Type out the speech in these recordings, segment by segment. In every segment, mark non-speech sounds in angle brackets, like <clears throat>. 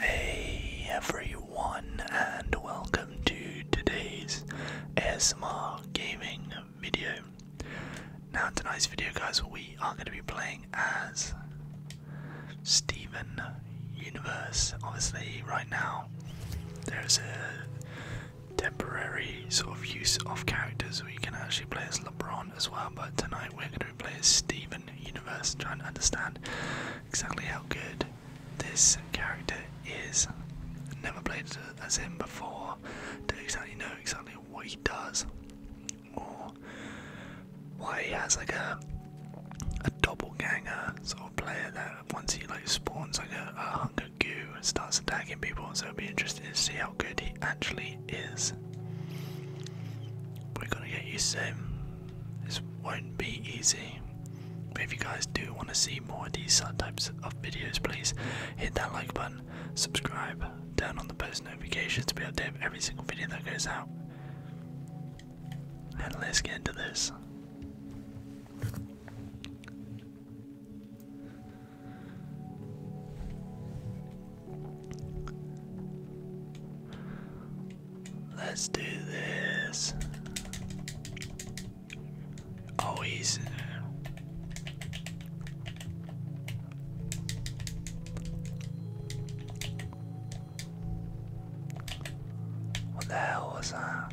Hey everyone, and welcome to today's ASMR gaming video. Now, in today's video, guys, we are going to be playing as Stephen universe. Obviously, right now there's a temporary sort of use of characters we can actually play as LeBron as well, but tonight we're going to play as Stephen universe, trying to understand exactly how good this character is. Never played as him before, don't exactly know exactly what he does or why he has like a a ganger sort of player that once he like spawns like a, a hunk goo and starts attacking people. So it'll be interesting to see how good he actually is. We're gonna get used to him. This won't be easy. But if you guys do want to see more of these types of videos, please hit that like button, subscribe, turn on the post notifications to be updated every single video that goes out let's get into this. Let's do this. Oh, what the hell was that?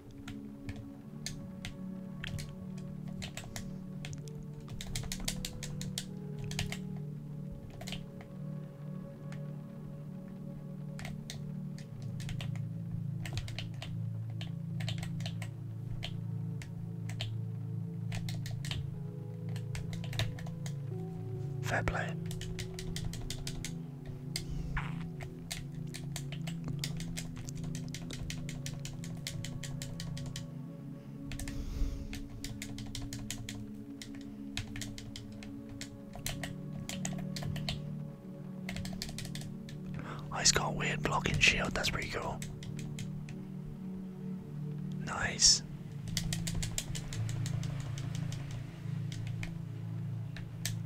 Fair play. I oh, he got a weird blocking shield, that's pretty cool. Nice.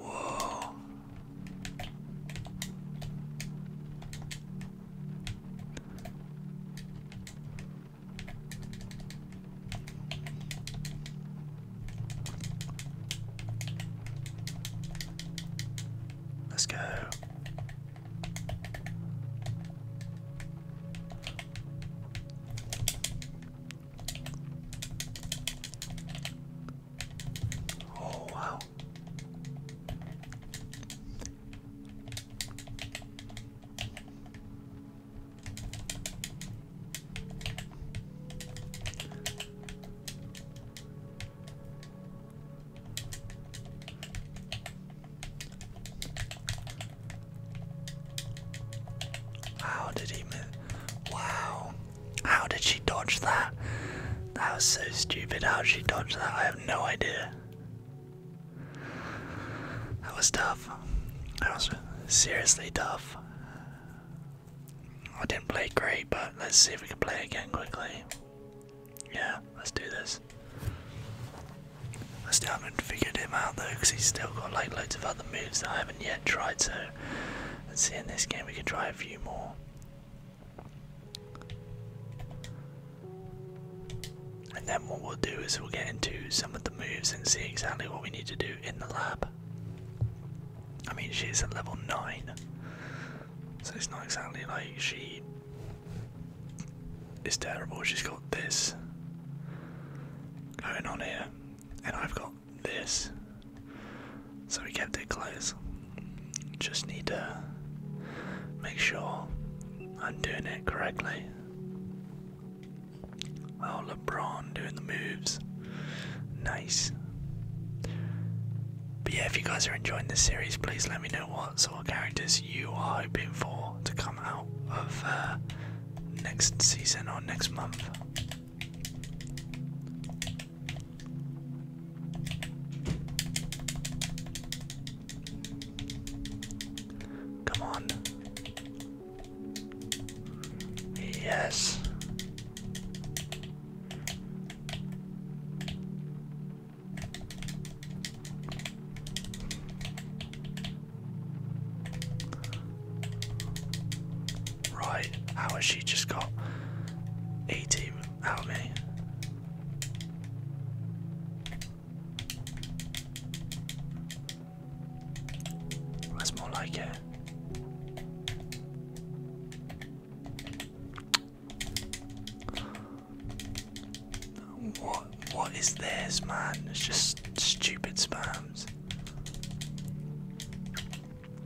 Whoa. Let's go. Oh, wow. How did he Wow. How did she dodge that? That was so stupid. How did she dodge that? I have no idea. That was tough. That was seriously tough. I didn't play great, but let's see if we can play again quickly. Yeah, let's do this. I still haven't figured him out though, because he's still got like loads of other moves that I haven't yet tried, so let's see in this game we can try a few more. And then what we'll do is we'll get into some of the moves and see exactly what we need to do in the lab. I mean, she's at level 9, so it's not exactly like she is terrible. She's got this going on here, and I've got this. So we kept it close. Just need to make sure I'm doing it correctly. Oh, LeBron doing the moves. Nice. But yeah, if you guys are enjoying this series, please let me know what sort of characters you are hoping for to come out of uh, next season or next month. Come on. Yes. Right, how has she just got 80 out of me? That's more like it. What what is this, man? It's just stupid spams.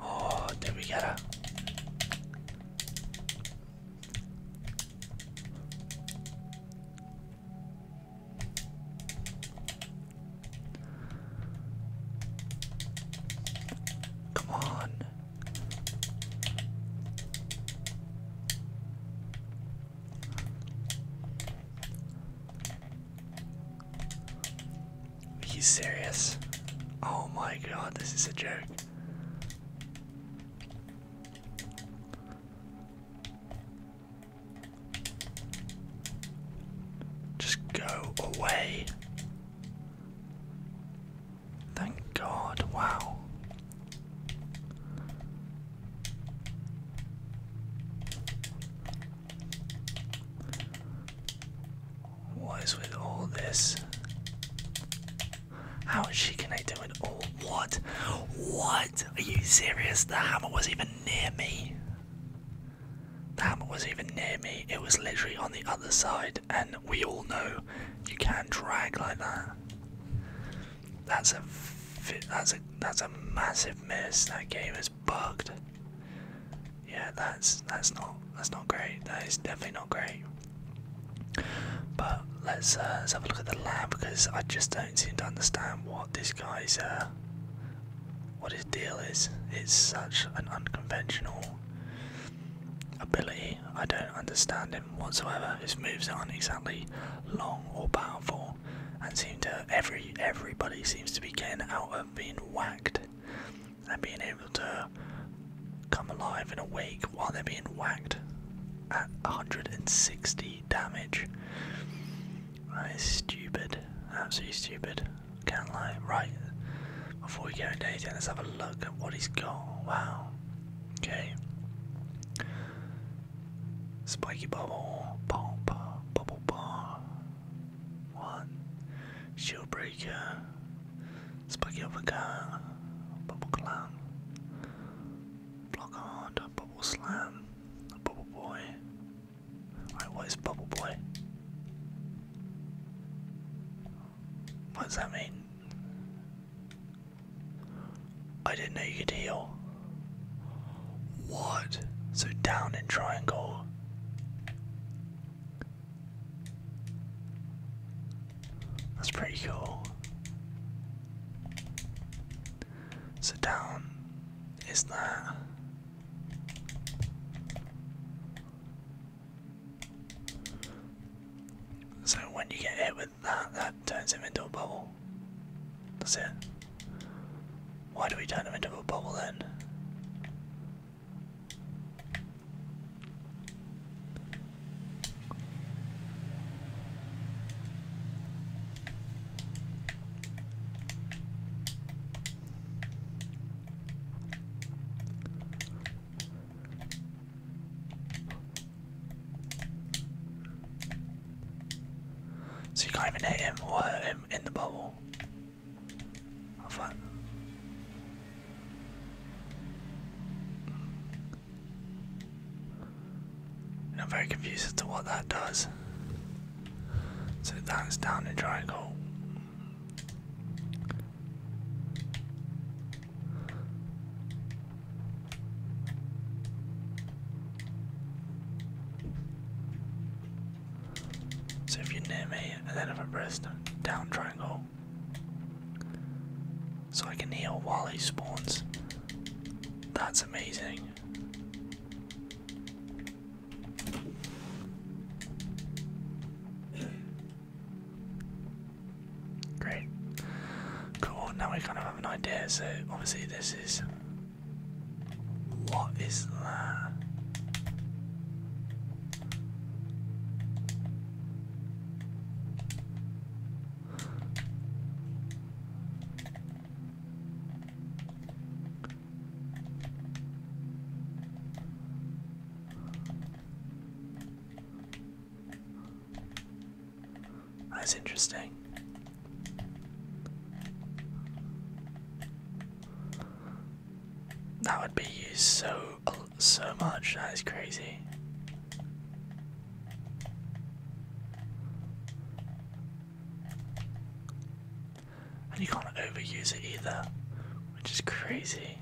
Oh, there we go. Come on. Are you serious? Oh my god, this is a joke. Just go away. Thank God, wow. What is with all this? How is she do it? all what? What? Are you serious? The hammer was even near me. The hammer was even near me. It was literally on the other side, and we all know you can not drag like that. That's a that's a that's a massive miss. That game bugged. Yeah, that's that's not that's not great. That is definitely not great. But let's uh, let's have a look at the lab because I just don't seem to understand what this guy's uh, what his deal is. It's such an unconventional ability. I don't understand him whatsoever. His moves aren't exactly long or powerful, and seem to every everybody seems to be getting out of being whacked and being able to come alive and awake while they're being whacked at 160 damage. That is stupid, absolutely stupid. Can't lie. Right, before we get into it, let's have a look at what he's got. Wow. Okay. Spiky bubble, pop, bubble bar, one. Shield breaker. Spaghetti overcar. Bubble clam. Block hard. Bubble slam. Bubble boy. Alright, what is bubble boy? What does that mean? I didn't know you could heal. What? So down in triangle. That's pretty cool. So down is that. So when you get hit with that, that turns him into a bubble. That's it. Why do we turn him into a bubble then? So you can't even hit him or hurt him in the bubble. I'm very confused as to what that does. So that's down in triangle. So if you're near me and then if I press down triangle, so I can heal while he spawns. That's amazing. Great. Cool, now we kind of have an idea, so obviously this is what is that? That's interesting. That would be used so so much. That is crazy. And you can't overuse it either, which is crazy.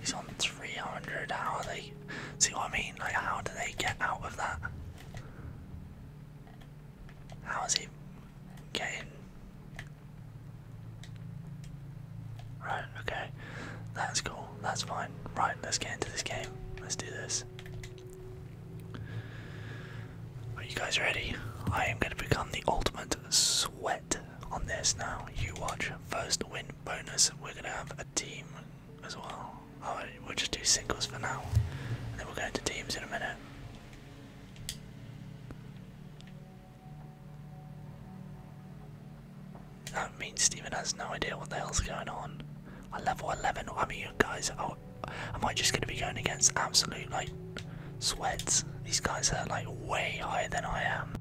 He's on 300. How are they? See what I mean? Like, how do they get out of that? How is he getting? Right, okay. That's cool. That's fine. Right, let's get into this game. Let's do this. Are you guys ready? I am going to become the ultimate sweat on this now. You watch. First win bonus. We're going to have a team as well. we'll just do singles for now. then we'll go into teams in a minute. That means Steven has no idea what the hell's going on. I level 11. I mean, you guys, oh, Am I just going to be going against absolute like sweats? These guys are like way higher than I am.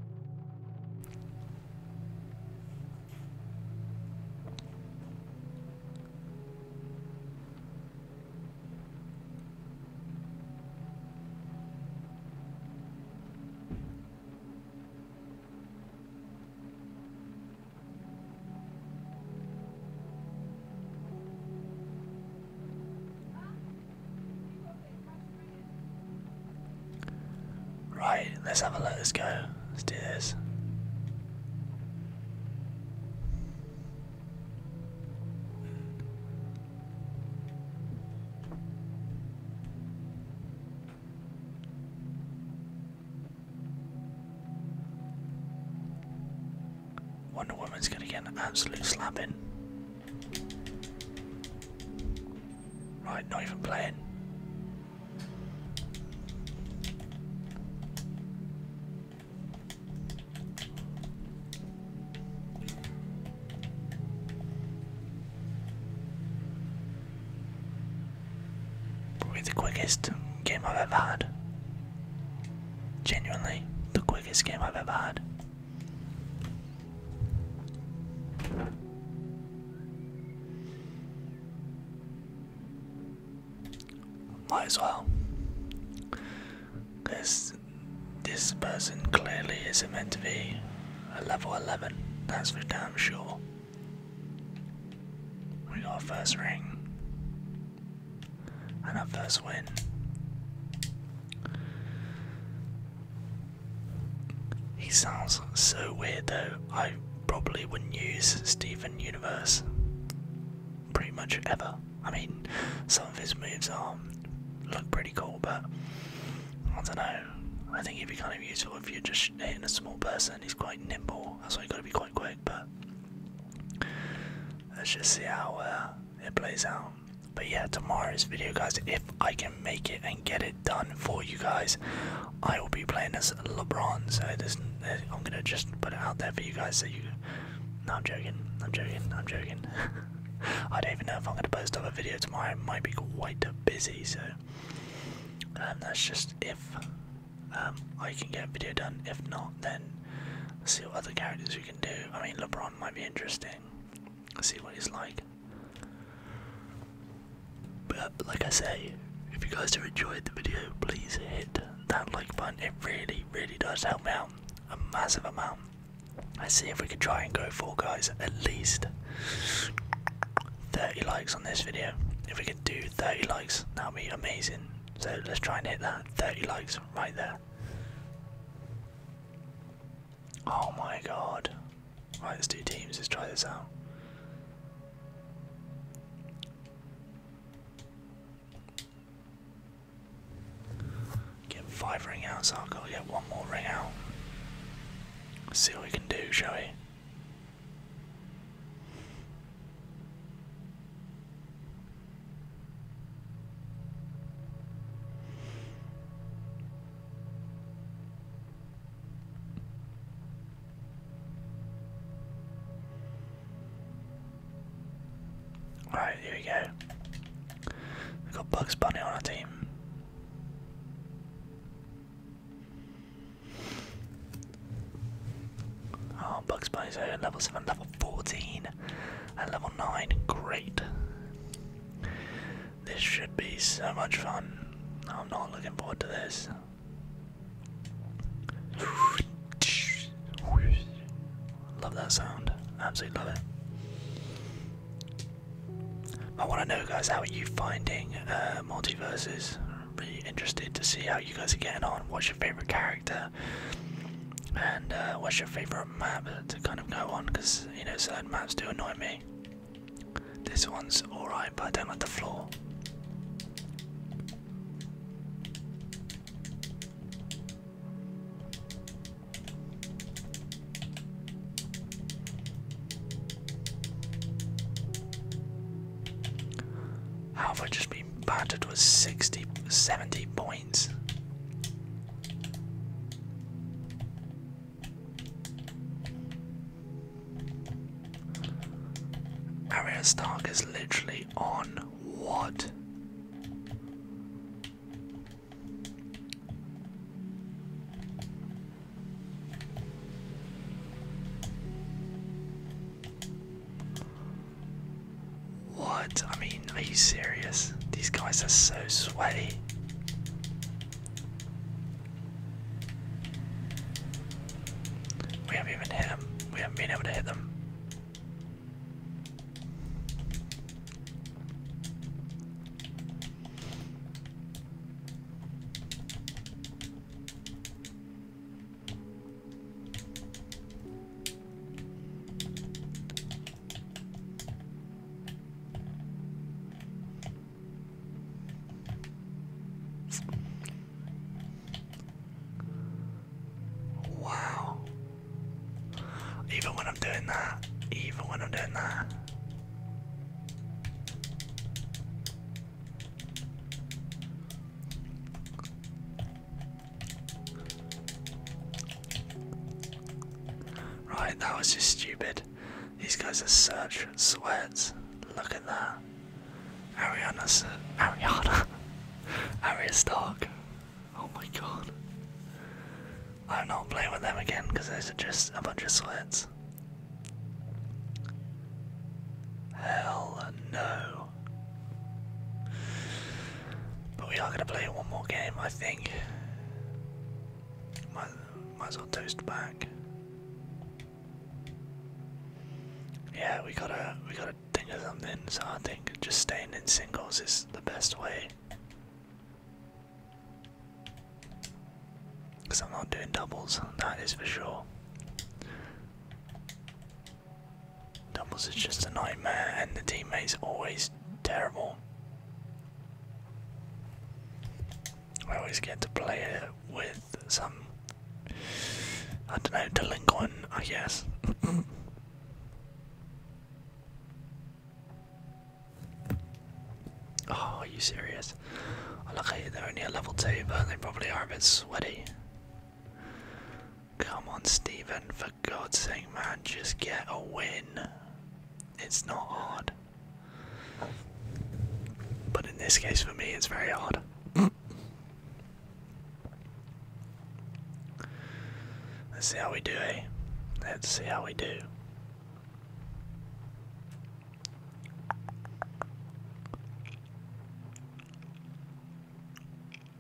Right, let's have a look. Let's go. Let's do this. Wonder Woman's gonna get an absolute slapping. Right, not even playing. Probably the quickest game I've ever had. Genuinely, the quickest game I've ever had. Might as well. Because this person clearly isn't meant to be a level 11, that's for damn sure. We got a first ring and I first win. He sounds so weird though, I probably wouldn't use Stephen Universe pretty much ever. I mean, some of his moves look pretty cool, but I don't know. I think he'd be kind of useful if you're just hitting a small person. He's quite nimble, that's why you gotta be quite quick, but Let's just see how uh, it plays out. But yeah, tomorrow's video, guys, if I can make it and get it done for you guys, I will be playing as LeBron. So I'm gonna just put it out there for you guys so you. No, I'm joking. I'm joking. I'm joking. <laughs> I don't even know if I'm gonna post up a video tomorrow. It might be quite busy, so um, that's just if I um, can get a video done. If not, then see what other characters we can do. I mean, LeBron might be interesting. see what he's like. But like I say, if you guys have enjoyed the video, please hit that like button. It really, really does help me out a massive amount. Let's see if we can try and go for guys at least 30 likes on this video. If we can do 30 likes, that will be amazing. So let's try and hit that. 30 likes right there. Oh my god. Right, there's two teams. Let's try this out. Get five ring outs. I've oh, got to get one more ring out. see what we can do, shall we? Alright, here we go. We've got Bugs Bunny on our team. Oh, Bugs Bunny's level 7, level 14, and level 9. Great. This should be so much fun. I'm not looking forward to this. Love that sound. Absolutely love it. I want to know, guys, how are you finding uh, multiverses? really interested to see how you guys are getting on. What's your favorite character? And uh, what's your favorite map to kind of go on? Because you know certain maps do annoy me. This one's alright, but I don't like the floor. How have I just been battered with 60, 70 points? Arya Stark is literally on what? What? I mean, are you serious? These guys are so sweaty. We haven't even hit them. We haven't been able to hit them. Wow. Even when I'm doing that, even when I'm doing that. Right, that was just stupid. These guys are such sweats. Look at that. Ariana, Ariana, <laughs> Arya Stark. Oh my god. I'm not playing with them again because those are just a bunch of sweats. Hell no. But we are going to play one more game, I think. Might, might as well toast back. Yeah, we gotta we gotta think of something. So I think just staying in singles is the best way. Cause I'm not doing doubles. That is for sure. Doubles is just a nightmare, and the teammates are always terrible. I always get to play it with some, I don't know, delinquent, I guess. <laughs> oh, are you serious? Oh, look, they're only a level 2, but they probably are a bit sweaty. Come on, Stephen, for God's sake, man, just get a win. It's not hard. But in this case, for me, it's very hard. <clears throat> Let's see how we do, eh? Let's see how we do.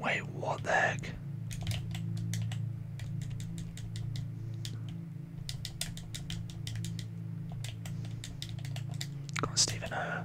Wait, what the heck? Come on, Stephen. Uh.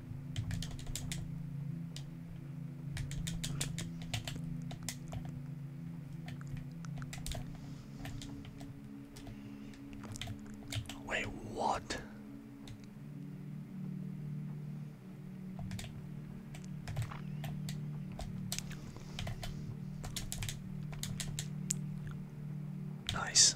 Wait, what? Nice.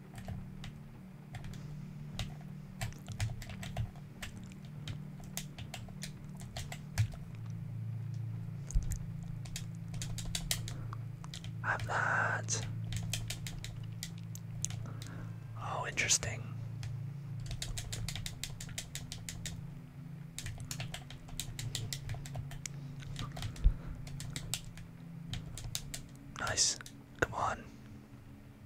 Have that. Oh, interesting. Nice. Come on.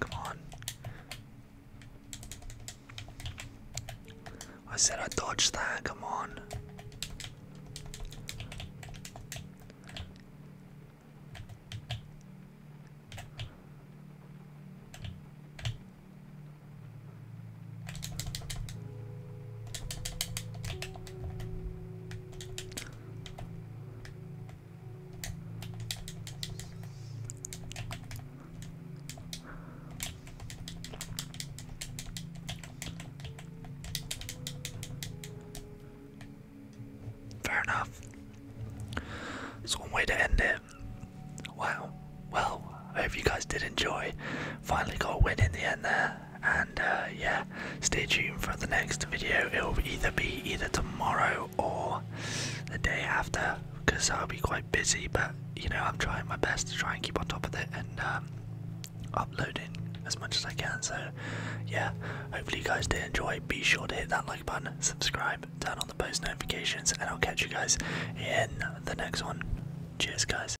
Come on. I said I dodged that, come on. Fair enough. It's one way to end it. Wow. Well, I hope you guys did enjoy. Finally got a win in the end there and uh, yeah, stay tuned for the next video. It will either be either tomorrow or the day after because I'll be quite busy. But you know, I'm trying my best to try and keep on top of it and um, uploading as much as I can. So yeah, hopefully you guys did enjoy. Be sure to hit that like button, subscribe, turn on the post notifications, and I'll catch you guys in the next one. Cheers, guys.